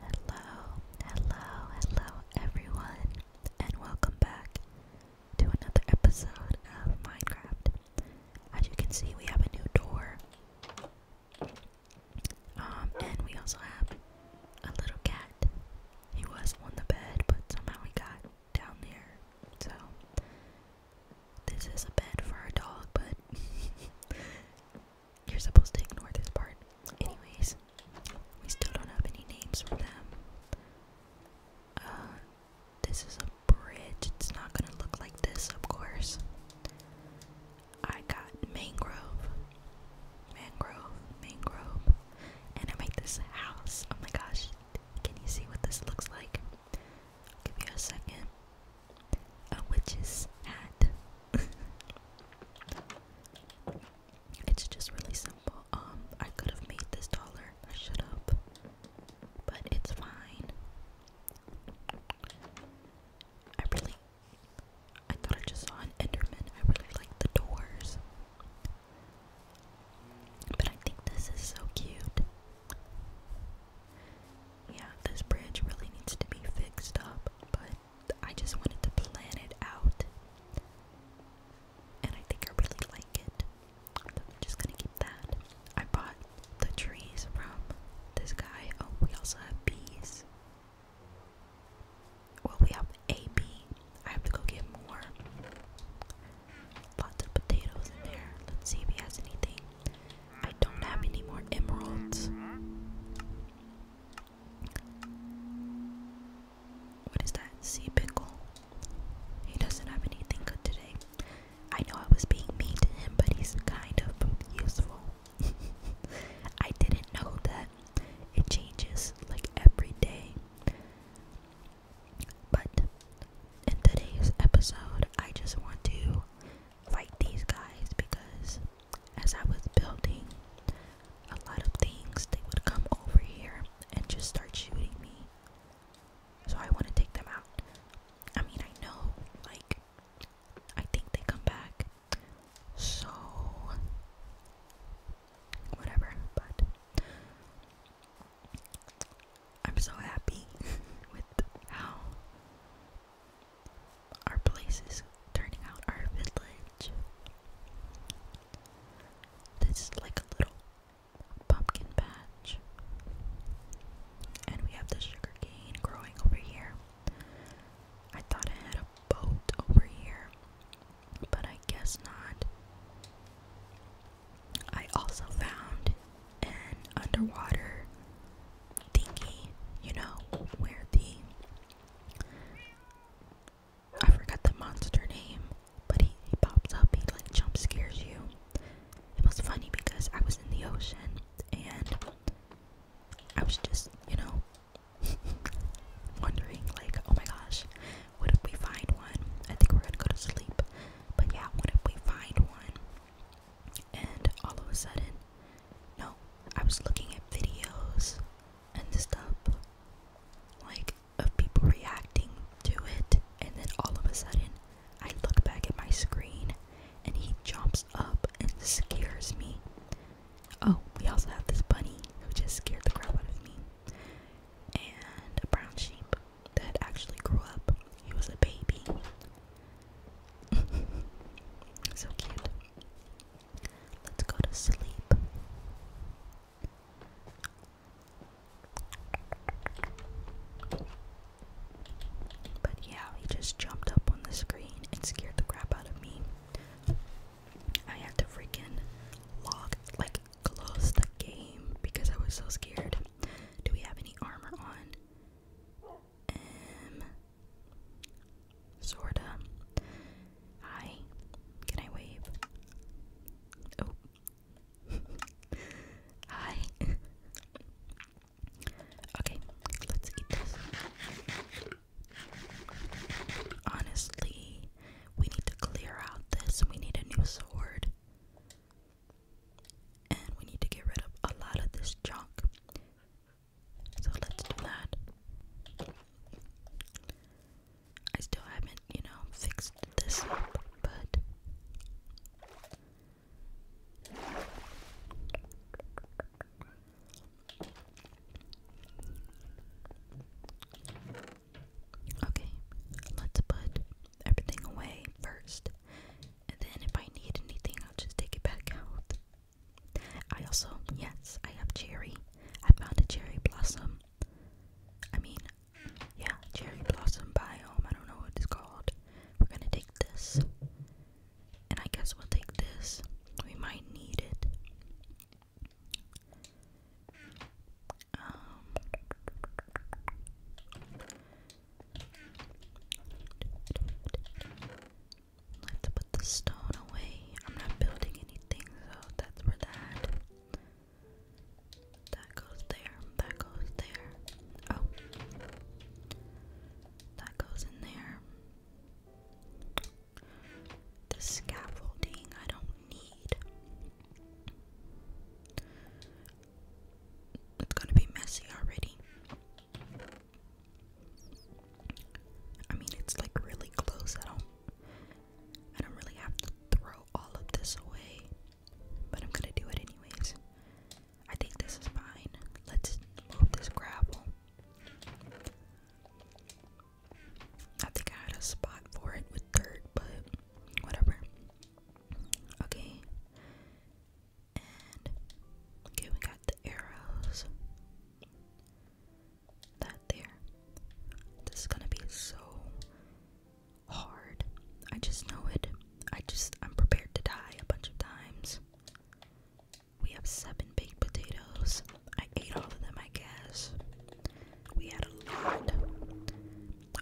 Hello, hello, hello everyone, and welcome back to another episode of Minecraft. As you can see, we have a new door. Um, and we also have a little cat. He was on the bed, but somehow he got down there. So, this is a bed for our dog, but You're supposed to ignore this part. Anyways, we still don't have any names for them. Uh, this is a bridge. It's not gonna look like this, of course. I got mangrove, mangrove, mangrove, and I made this house. Oh my gosh, can you see what this looks like? I'll give you a second a witch's hat. it's just really simple. Um, I could have made this taller. I should have, but it's fine. I really, I thought I just saw an Enderman. I really like the doors, but I think this is so cute. Yeah, this bridge really needs to be fixed up, but I just wanted to plan it out. And I think I really like it. I'm just gonna keep that. I bought the trees from this guy. Oh, we also have bees. Well, we have a bee. I have to go get more. Lots of potatoes in there. Let's see if he has anything. I don't have any more emeralds. What is that? Sea pickle. He doesn't have anything good today. I know I was being mean to him, but he's kind of useful. I didn't know that it changes like every day. But in today's episode, I just want to fight these guys because as I was building a lot of things, they would come over here and just start shooting me. So I want to take them out. I mean, I know, like, I think they come back. So, whatever, but I'm so happy with how our place is turning out our village. This is like a little pumpkin patch. And we have the sugar growing over here. I thought I had a boat over here, but I guess not. I also found an underwater thingy, you know, where the I forgot the monster name, but he, he pops up, he like jump scares you. It was funny because I was in the ocean and I was just, you know, wondering like, oh my gosh, what if we find one? I think we're gonna go to sleep. But yeah, what if we find one? And all of a sudden, no, I was looking at videos and stuff like of people reacting to it, and then all of a sudden I look back at my screen and he jumps up and scares me. Oh, we also have this bunny who just scared the crap out of me, and a brown sheep that actually grew up. He was a baby. so cute. Let's go to sleep. But yeah, he just jumped up on the screen and scared the crap out of me. I had to freaking log, like, close the game because I was so scared. Do we have any armor on? sorta. Hi. Can I wave? Oh. Hi. okay, let's eat this. Honestly, we need to clear out this. We need a new sword. And we need to get rid of a lot of this junk. So let's do that. I still haven't, you know, fixed this up, but Okay, let's put everything away first, and then if I need anything, I'll just take it back out. I also, yes, I have cherry. I found a cherry blossom. I mean, yeah, cherry blossom biome. I don't know what it's called. We're gonna take this. And I guess we'll take this. We might need it. Um. Let's put the stone away. I'm not building anything, so that's where that. That goes there. That goes there. Oh. That goes in there. The scaffolding I don't need. It's gonna be messy already. I mean, it's like really close. I don't, I don't really have to throw all of this away, but I'm gonna do it anyways. I think this is fine. Let's move this gravel. I think I had a spot for it with dirt, but whatever. Okay. okay, we got the arrows that there. This is gonna be so hard. I just know it. I just, I'm prepared to die a bunch of times. We have seven baked potatoes. I ate all of them, I guess. We had a lot.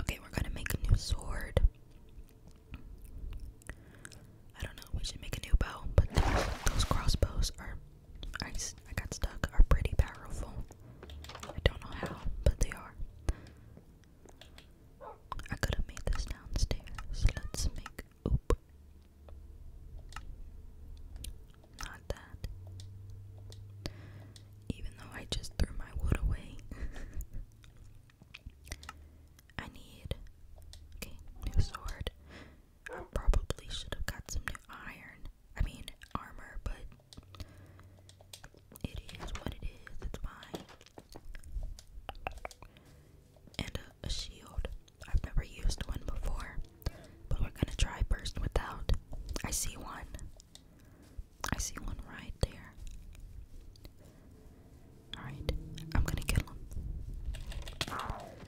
Okay, we're gonna make a new sword. I don't know, we should make a new bow, but those, crossbows are I, I got stuck are pretty powerful. I don't know how, but they are. I could have made this downstairs. Let's make oop. Not that. Even though I just threw my wood away. I need okay, new sword. I probably should have got some new iron. I mean, armor, but it is what it is. It's fine. And a, shield. I've never used one before, but we're gonna try first without. I see one. I see one right there. Alright, I'm gonna kill him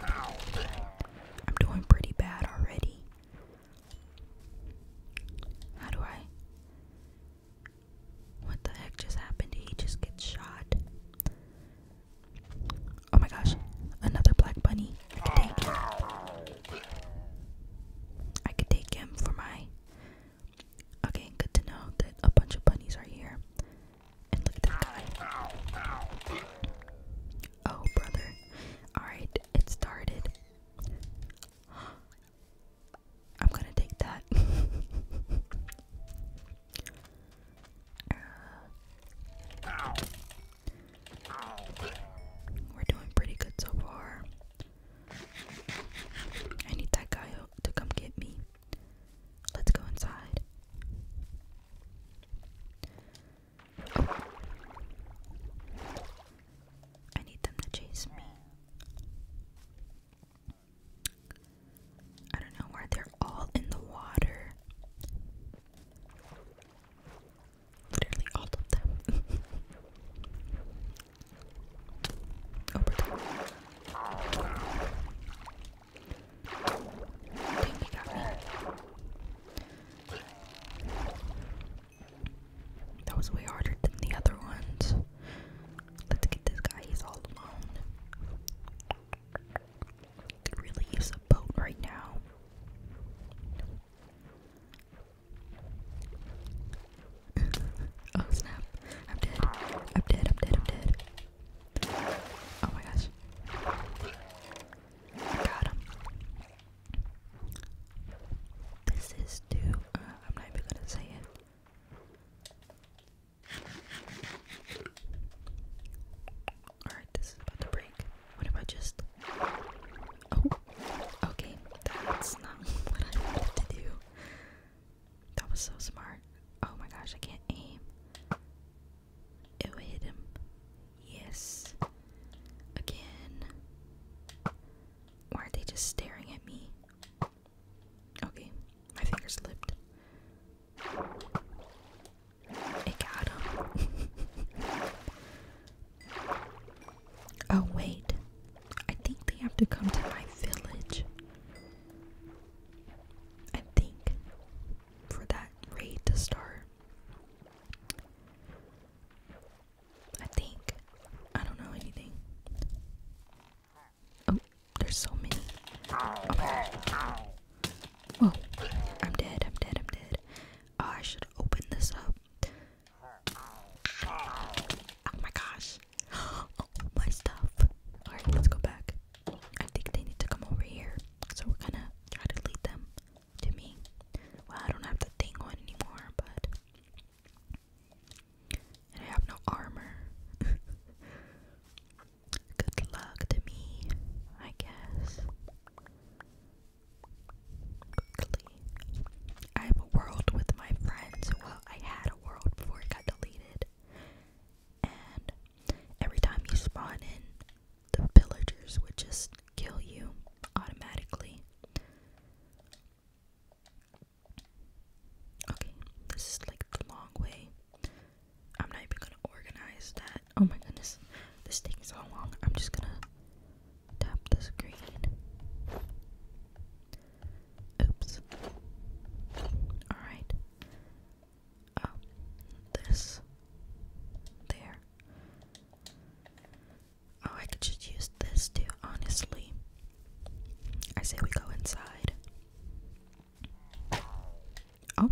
i am doing pretty bad already. How do I? What the heck just happened? he just get shot? Oh my gosh, another black bunny. I could take him. I could take him for my. Okay, good to know that a bunch of bunnies are here look at this guy. Oh, brother. Alright, it started. I'm gonna take that. Uh, we're doing pretty good so far. I need that guy to come get me. Let's go inside. Oh. I need them to chase me. I don't know where they're all in the water. Literally all of them. Over oh, that was way harder than the other ones. Let's get this guy, he's all alone. really use a boat right now. oh snap. I'm dead. I'm dead. I'm dead. I'm dead. Oh my gosh. I got him. This is to, uh, I'm not even gonna say it. Alright, this about to break. What if I just. Oh, okay. That's not what I wanted to do. That was so smart. Oh my gosh, I can't aim. It will hit him. Yes. Again. Why are they just staring at me? Okay, my finger slipped. It got oh, wait. I think they have to come to my village. I think for that raid to start. I think. I don't know anything. Oh, there's so many. Oh Whoa. I'm dead, I'm dead, I'm dead. Oh, I should open this up. Oh my gosh. All oh, my stuff. Alright, let's go back. I think they need to come over here. So we're gonna try to lead them to me. Well, I don't have the thing on anymore, but. I have no armor. Good luck to me, I guess. Quickly. I have a world with my friends. Well, I had a world before it got deleted and every time you spawn in, the villagers would just kill you automatically. Okay, this is like the long way. I'm not even gonna organize that. Oh my goodness, this taking so long. I'm just gonna tap the screen. Oops. Alright um, this there. Oh, I could just use this too, honestly. I say we go inside. Oh.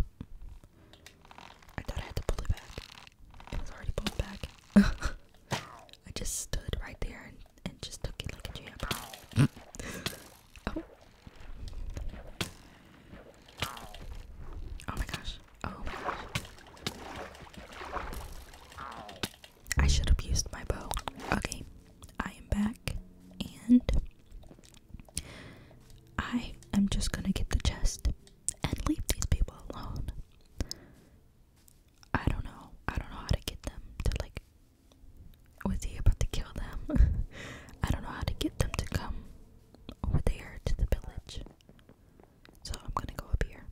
I thought I had to pull it back. It was already pulled back. I just stood right there and, and just took it like a champ. oh. Oh my gosh. Oh my gosh. I should have used my bow. Okay, I am back and I am just gonna get the chest and leave these people alone. I don't know. I don't know how to get them to like. Was he about to kill them? I don't know how to get them to come over there to the village. So I'm gonna go up here.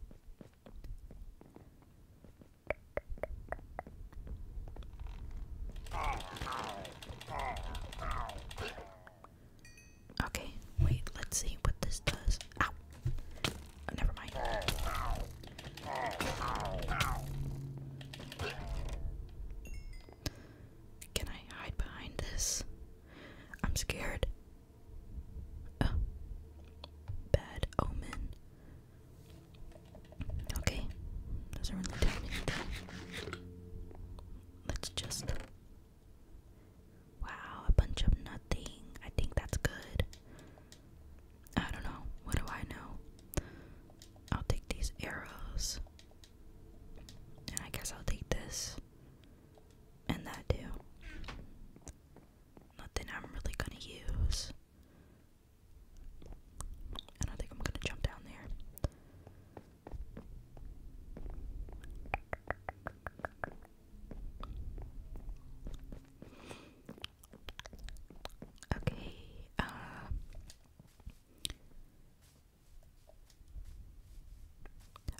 Okay, wait, let's see what this does. Ow! Oh, never mind. Can I hide behind this? I'm scared. Oh. bad omen. Okay, doesn't really tell me Let's just. Wow, a bunch of nothing. I think that's good. I don't know. What do I know? I'll take these arrows. I guess I'll take this. And that too. Nothing I'm really gonna use. And I think I'm gonna jump down there. Okay, uh,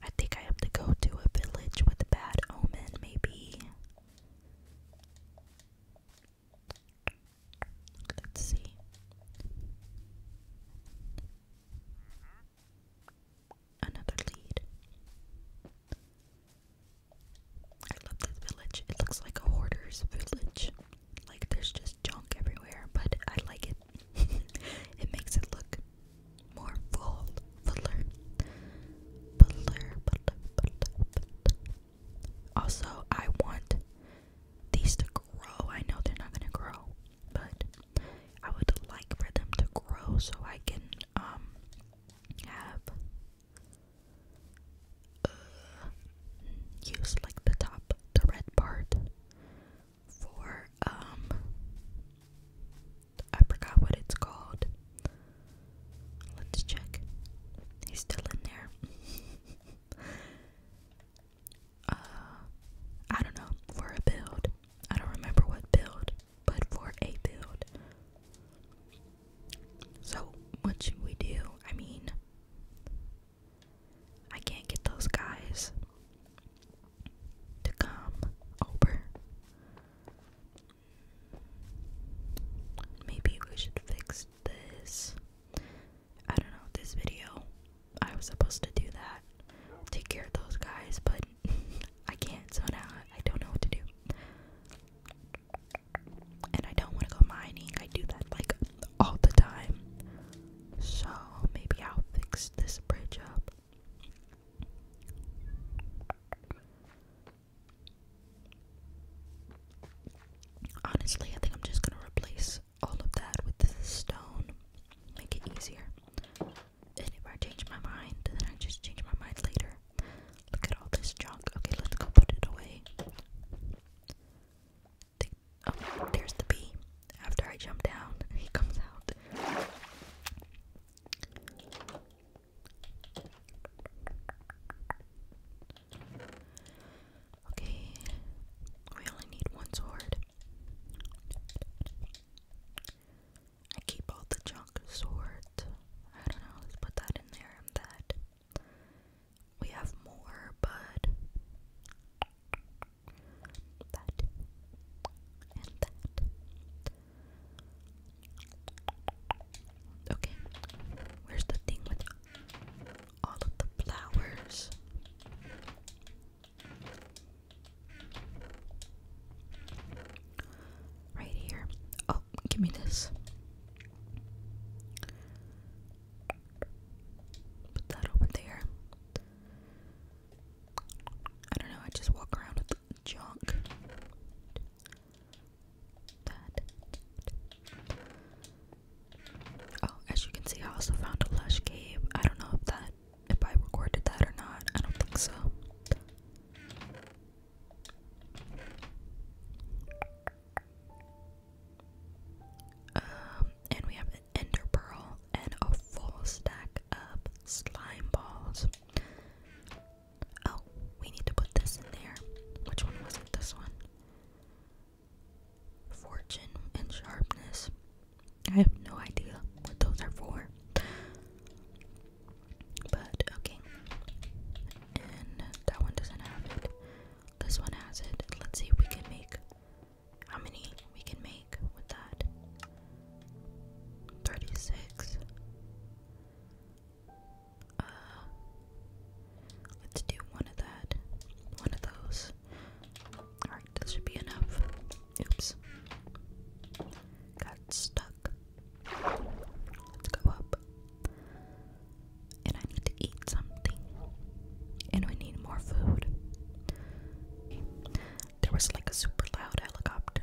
I think I have to go to a village with a bad omen, maybe. Let's see. Another lead. I love this village. It looks like a hoarder's village. Like there's just junk everywhere, but I like it. it makes it look more full, fuller, fuller, Also, I want these to grow. I know they're not gonna grow, but I would like for them to grow so I can um have uh, use like the top, the red part for um I forgot what it's called. Let's check. He's still in there. uh I don't know, for a build. I don't remember what build, but for a build. So what should we do? I mean I can't get those guys to come over. Maybe we should fix this. I don't know, this video. I was supposed to do that. Take care of those guys, but I can't, so now I don't know what to do. And I don't want to go mining. I do that like all the time. So maybe I'll fix this bridge up. Honestly, I think I'm just gonna replace all of that with this stone, make it easier. And if I change my mind, then I just change my mind later. Look at all this junk. Okay, let's go put it away. oh, there's the bee after I jump down, he comes out. Okay, we only need one sword. I keep all the junk swords. I don't know, let's put that in there that. We have more, but that, and that. Okay, where's the thing with all of the flowers? Right here. Oh, give me this. Put that over there. I don't know, I just walk around with junk. That. Oh, as you can see, I also found a lush cave. I don't know if that if I recorded that or not. I don't think so. Um, and we have ender pearl, and a full stack of slime balls. Oh, we need to put this in there. Which one was it? This one. Fortune and sharpness. I have no idea what those are for. But okay. And that one doesn't have it. This one has it. Let's see if we can make how many we can make with that. 36. Uh, let's do one of that. One of those. Alright, this should be enough. Oops. Got stuck. Let's go up. And I need to eat something. And we need more food. There was like a super loud helicopter.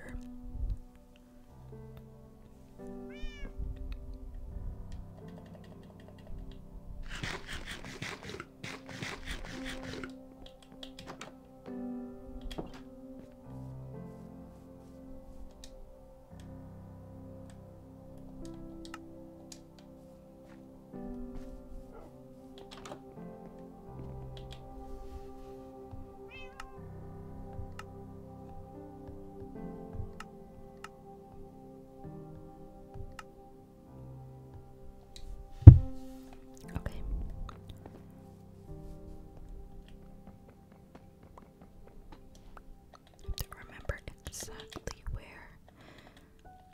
Okay. I have to remember exactly where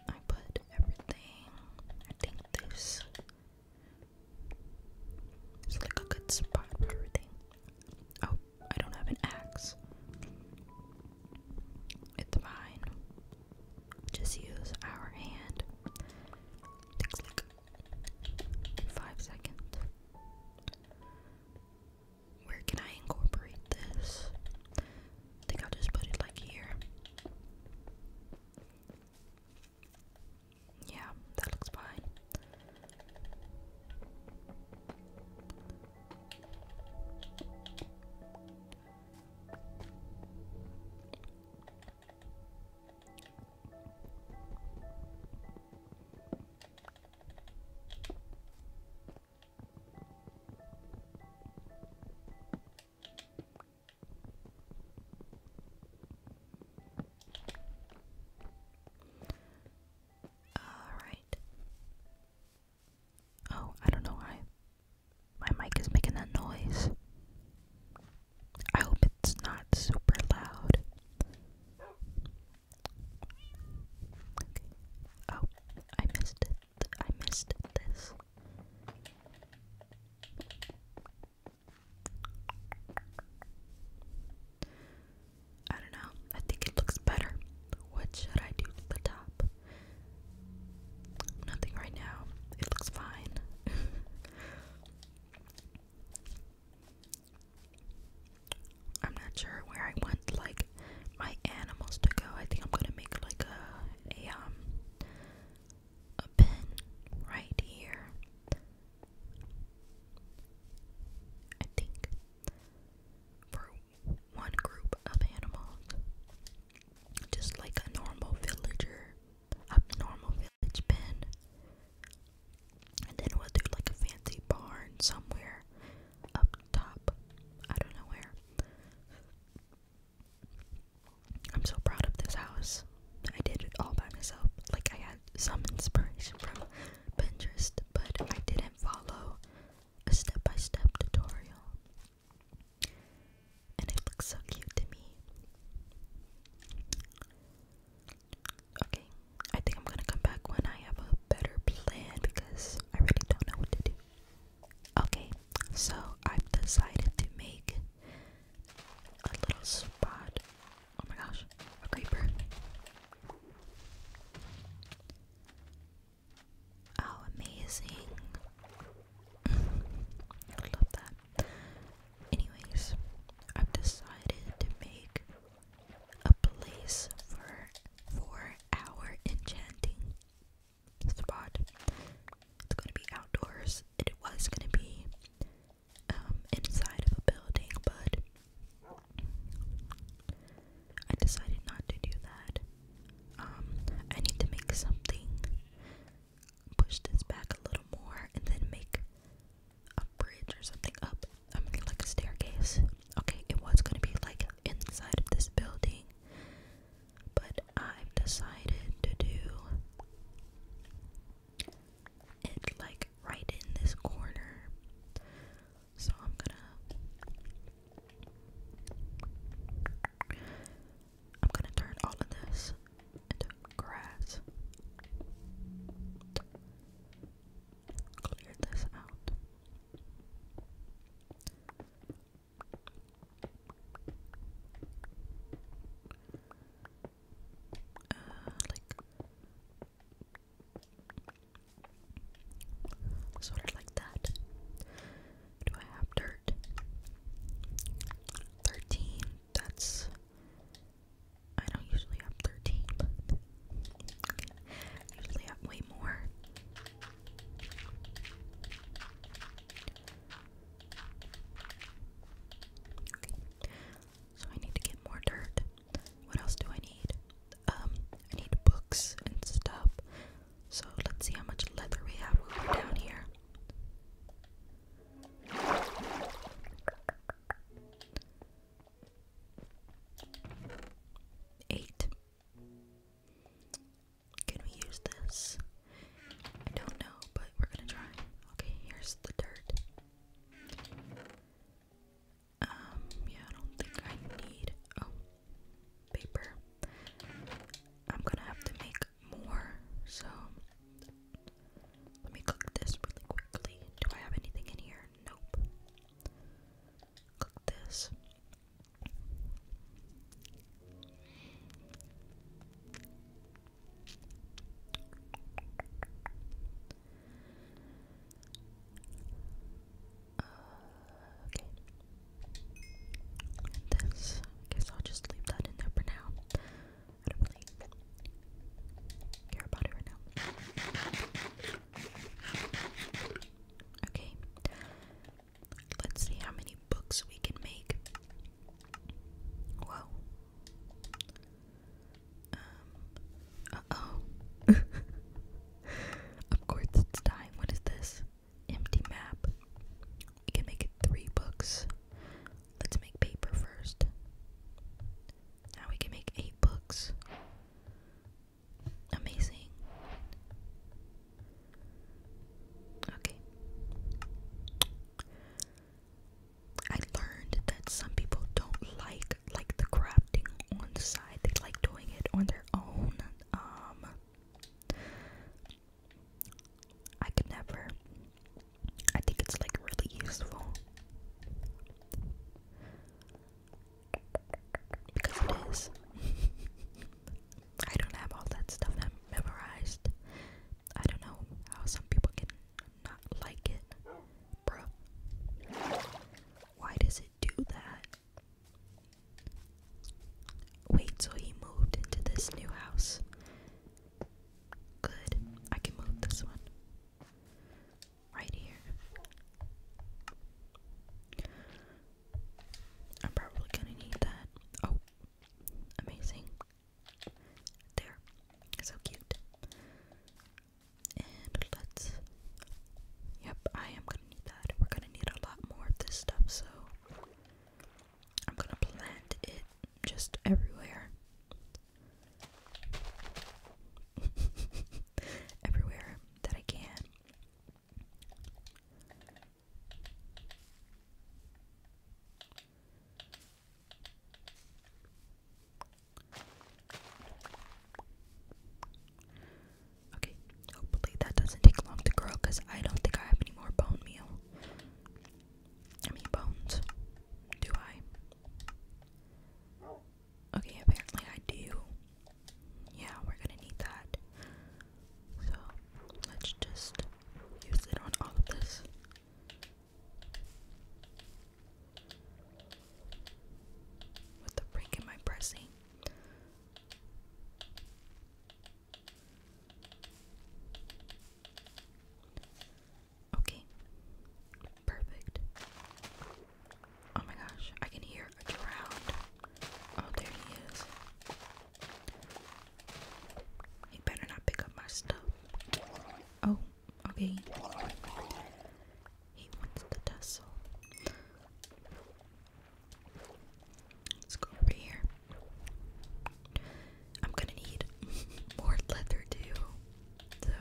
I put everything. I think this it's like a good spot for everything. Oh, I don't have an axe. It's fine. Just use our hand. five seconds. Where can I incorporate this? I think I'll just put it like here. Yeah, that looks fine. Alright. Oh, I don't know why. My mic is making that noise. I hope it's not super loud. Okay. Oh, I missed it. I missed this. I don't know. I think it looks better. What should I do to the top? Nothing right now. It looks fine. I'm not sure where I want like my animals to go. I think I'm gonna make like a a um a pin right here. I think for one group of animals, just like a normal villager, a normal village pen, and then we'll do like a fancy barn somewhere up top. I don't know where. I'm so proud of this house. I did it all by myself. Like, I had some inspiration from Pinterest, but I didn't follow a step by step tutorial. And it looks so cute to me. Okay, I think I'm gonna come back when I have a better plan because I really don't know what to do. Okay, so I've decided to make a little spot. Oh my gosh, a creeper. Oh, amazing. I love that. Anyways, I've decided to make a place for for our enchanting spot it's going to be outdoors. It was going to be um, inside of a building, but I decided not to do that. Um, I need to make something, push this back a little more, and then make a bridge or something up. I mean, like a staircase. Okay, it was going to be like inside of this building, but I've decided to do it like right in this corner. So I'm gonna I'm gonna turn all of this into grass. Clear this out uh, like sort of like that. Do I have dirt? Thirteen. That's I don't usually have thirteen, but okay. I usually have way more. So I need to get more dirt. What else do I need? Um, I need books and stuff. So let's see how much leather we have down here. Eight. Can we use this? I don't know, but we're gonna try. Okay, here's the dirt. Um, yeah, I don't think I need oh paper. I'm gonna have to make more, so let me cook this really quickly. Do I have anything in here? Nope. Cook this. Okay. This, I guess I'll just leave that in there for now. I don't really care about it right now. Okay. Let's see how many books we can make. Whoa, um, uh-oh. of course it's dying. What is this? Empty map. We can make it three books. Let's make paper first. Now we can make eight books. Amazing. Okay. I learned that some people don't like like the crafting on the side. They like doing it on their own. Um I could never. I think it's like really useful. Because it is. I don't have all that stuff memorized. I don't know how some people can not like it, bruh. Why does it do that? Wait till he moved into this new house. Good, I can move this one right here. I'm probably gonna need that. Oh, amazing. There. So cute. And let's. Yep, I am gonna need that. We're gonna need a lot more of this stuff, so I'm gonna plant it just everywhere. everywhere that I can. Okay, hopefully that doesn't take long to grow because I don't think I have any more bone meal. I mean, bones. Do I? Okay, apparently I do. Yeah, we're gonna need that. So, let's just use it on all of this. What the frick am I pressing? Okay. Perfect. Oh my gosh, I can hear a crowd. Oh, there he is. He better not pick up my stuff. Oh, Okay. He wants the tussle. Let's go over here. I'm gonna need more leather too. So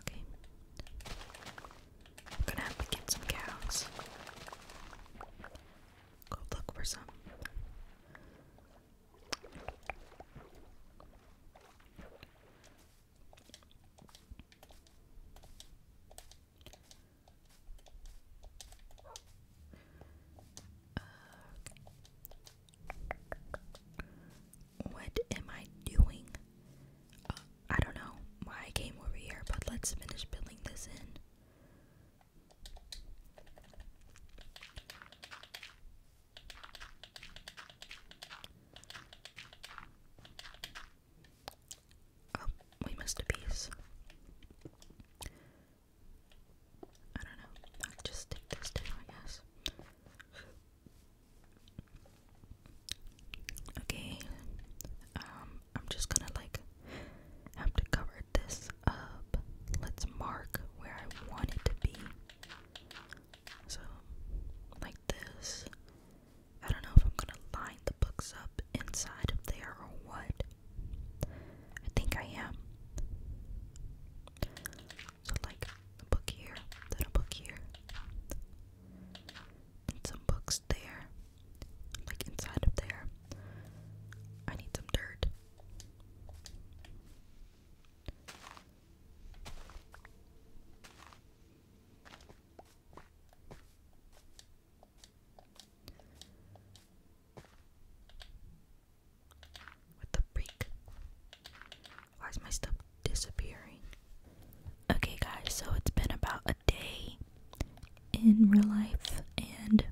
Okay. I'm gonna have to get some cows. Go look for some. Uh, what am I doing? I don't know why I came over here, but let's finish building this in. Oh, we missed a piece. I don't know. I'll just stick this down, I guess. Okay, um, I'm just gonna like have to cover this up. Let's mark where I want it to be. So, like this. I don't know if I'm gonna line the books up inside of there or what. I think I am. So, like book here, then book here, some books there, like inside of there. I need some dirt. What the freak? Why is my stuff disappearing? Okay, guys, so it's been about a day in real life and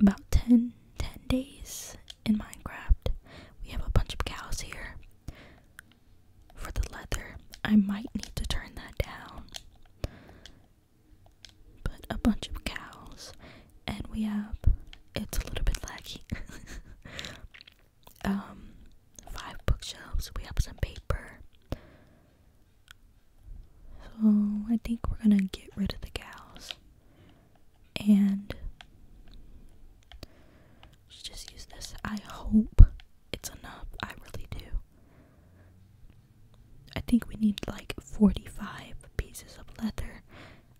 about 10, 10 days in Minecraft. We have a bunch of cows here for the leather. I might need to turn that down. But a bunch of cows, and we have it's a little bit laggy. um, five bookshelves, we have some paper, so I think we're gonna get rid of the cows and just use this. I hope it's enough. I really do. I think we need like 45 pieces of leather.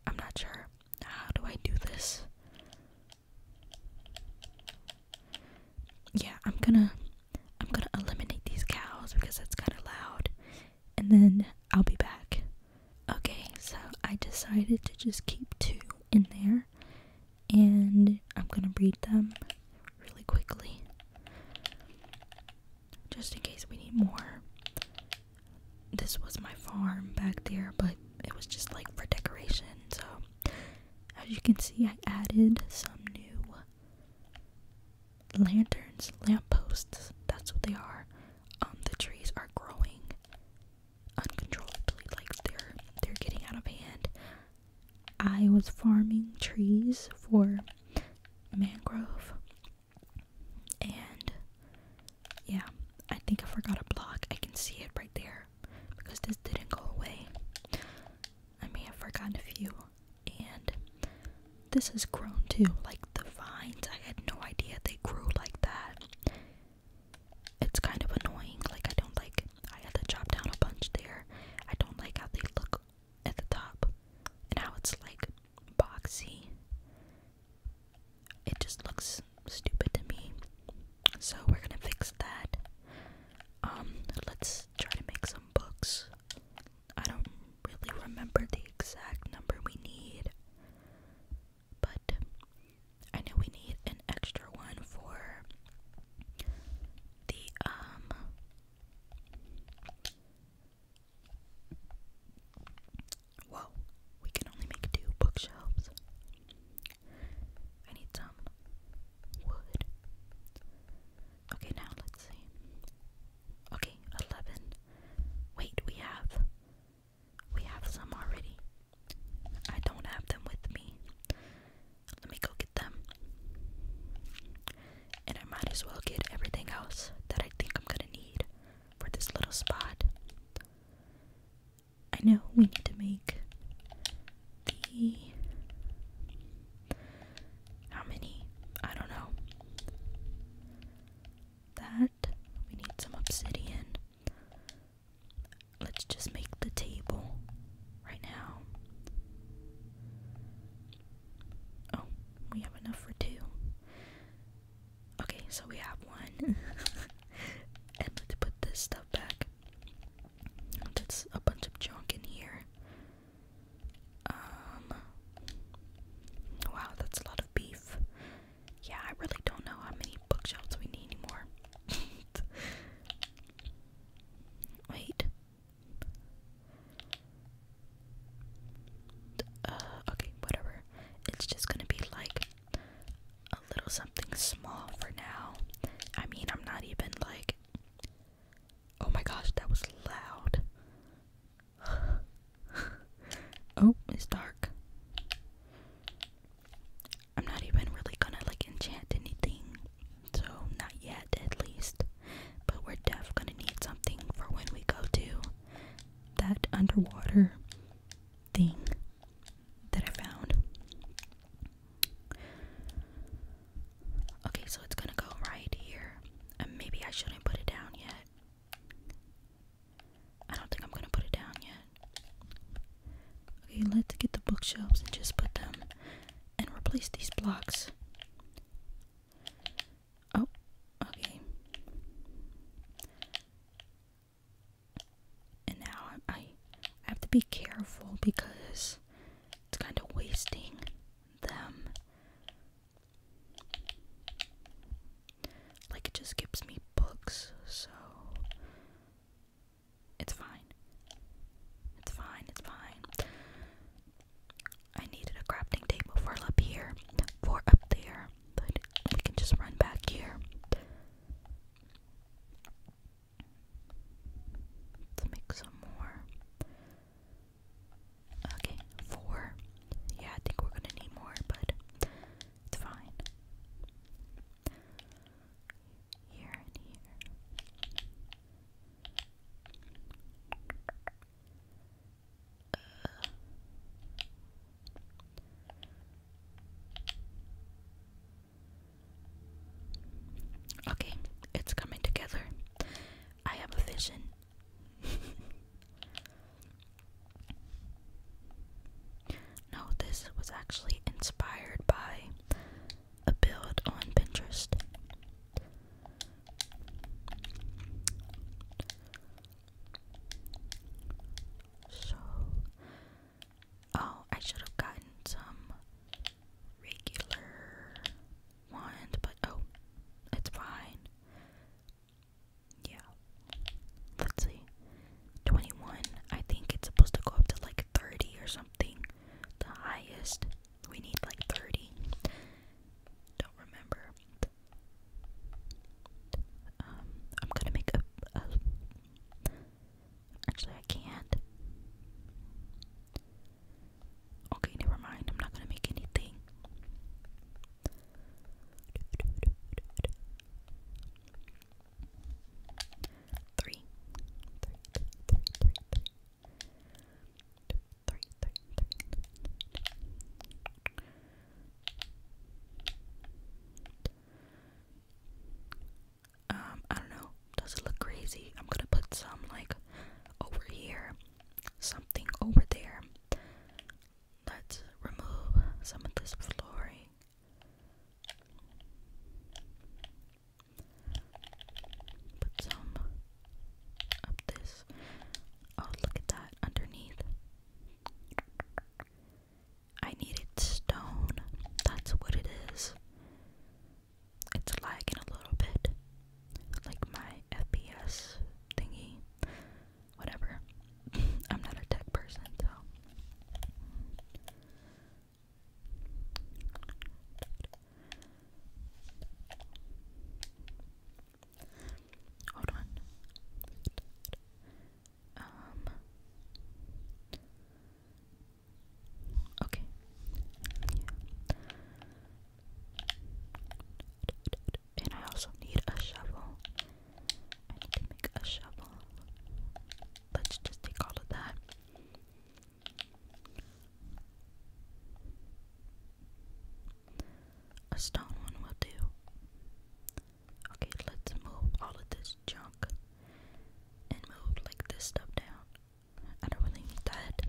I'm not sure. How do I do this? yeah, I'm gonna I'm gonna eliminate these cows because that's kind of loud, and then I'll be back. Okay, so I decided to just keep two in there, and I'm gonna breed them really quickly, just in case we need more. This was my farm back there, but it was just like for decoration, so as you can see, I added some new lanterns, lampposts. That's what they are. Um, the trees are growing uncontrollably, like they're they're getting out of hand. I was farming trees for mangrove, and yeah, I think I forgot a block. I can see it right there because this didn't go away. I may have forgotten a few. And this has grown too. Like the vines, I had no idea they grew like that. It's kind of annoying. Like, I don't like, I had to chop down a bunch there. I don't like how they look at the top and how it's like boxy. It just looks stupid to me. So, we're gonna fix that. Um, let's try to make some books. I don't really remember the exact number we need, but I know we need an extra one for the, um, whoa, we can only make two bookshelves. I need some wood. Okay, now let's see. Okay, 11. Wait, we have. We have some already. I don't have them with me. Let me go get them. And I might as well get everything else that I think I'm gonna need for this little spot. I know we need to make how many? I don't know. That we need some obsidian. Let's just make the table right now. Oh, we have enough for two. Okay, so we have one. and let's put this stuff back. That's a bunch of junk in here. Um, wow, that's a lot of beef. Yeah, I really don't know how many bookshelves we need anymore. Wait. Uh, okay, whatever. It's just gonna be like a little something small for now. I mean, I'm not even like Oh my gosh, that was loud. oh, it's dark. I'm not even really gonna like enchant anything. So, not yet at least. But we're def gonna need something for when we go to that underwater thing that I found. Okay, so it's gonna go right here. And maybe I shouldn't put it down yet. I don't think I'm gonna put it down yet. Okay, let's get the bookshelves and just put them and replace these blocks. Oh, okay. And now I, I have to be careful because it's kind of wasting them. Like, it just gives me books, so. It's fine. It's fine, it's fine. I needed a crafting table for up here, for up there, but we can just run back here. Let's make some more. Okay, four. Yeah, I think we're gonna need more, but it's fine. Here and here. Okay, it's coming together. I have a vision. no, this was actually inspired by a build on Pinterest. So, oh, I should have gotten some regular one, but oh, it's fine. Yeah. Let's see. 21. I think it's supposed to go up to like 30 or something. The highest. We need like 30. Don't remember. Um, I'm gonna make a. Actually, I can't. Okay, never mind. I'm not gonna make anything. Three. Three, um, I don't know. Does it look crazy? I'm gonna put some like over here, something over there. Let's remove some of this flooring. Put some up this. Oh, look at that underneath. I needed stone. That's what it is it's lagging a little bit. Like my FPS thingy. Whatever. I'm not a tech person, so. Hold on. Um Okay. And I also need a shovel. I need to make a shovel. Let's just take all of that. A stone one will do. Okay, let's move all of this junk and move like this stuff down. I don't really need that.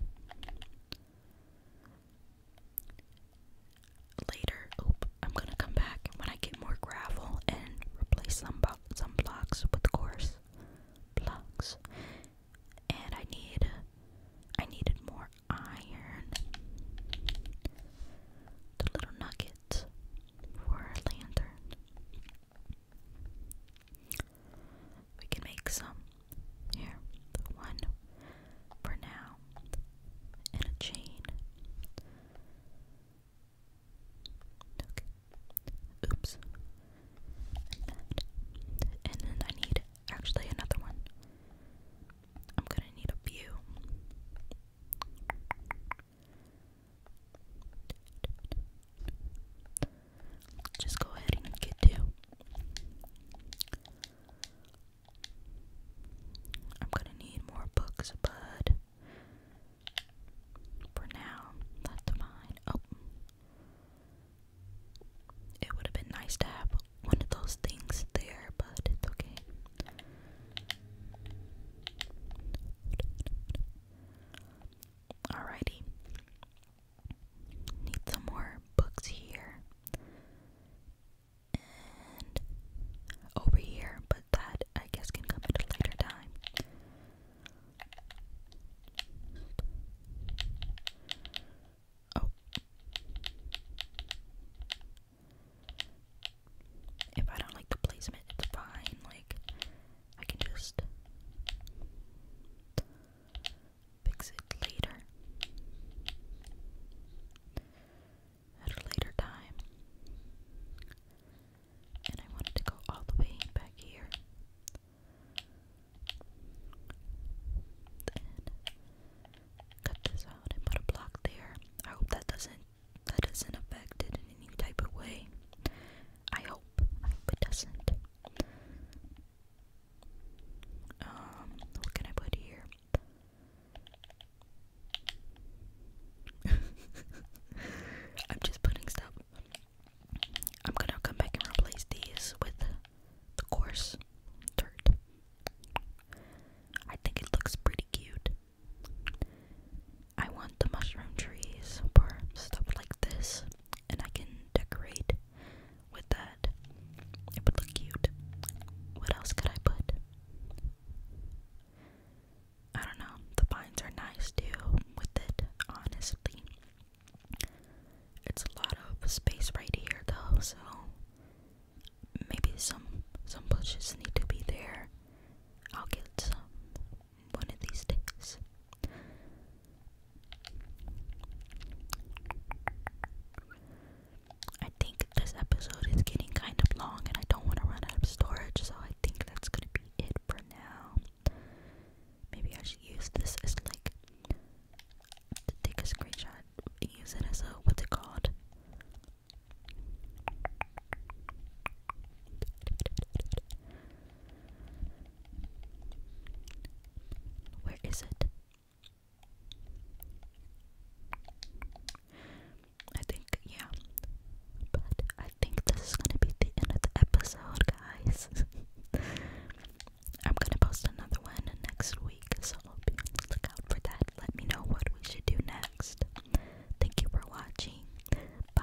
Later, I'm gonna come back when I get more gravel and replace some some blocks with coarse blocks. And I need, I needed more iron. The little nugget for a lantern. We can make some here. One for now. And a chain. Oops. And then I need actually another one. I'm gonna need a few just go ahead and get to. I'm gonna need more books, but for now, that's fine. Oh, it would have been nice to have one of those things there, but it's okay. Alrighty. Need some more books here. And over here, but that I guess can come at a later time. Oh. If I don't like the placement, it's fine. Like, I can just fix it later at a later time. And I wanted to go all the way back here. And cut this out and put a block there. I hope that doesn't that doesn't affect it in any type of way. I hope. I doesn't. Um, what can I put here? I'm just putting stuff. I'm gonna come back and replace these with the coarse dirt. I think it looks pretty cute. I want the mushroom trees for stuff like this, and I can decorate with that. It would look cute. What else could I put? I don't know. The vines are nice too with it, honestly. It's a lot of space right here though, so maybe some some bushes need to be there. I'll get some one of these days. I think this episode is getting kind of long and I don't want to run out of storage, so I think that's going to be it for now. Maybe I should use this as like to take a screenshot and use it as a what's it called? Where is it? I think, yeah. But I think this is gonna be the end of the episode, guys. I'm gonna post another one next week, so be on for that. Let me know what we should do next. Thank you for watching. Bye.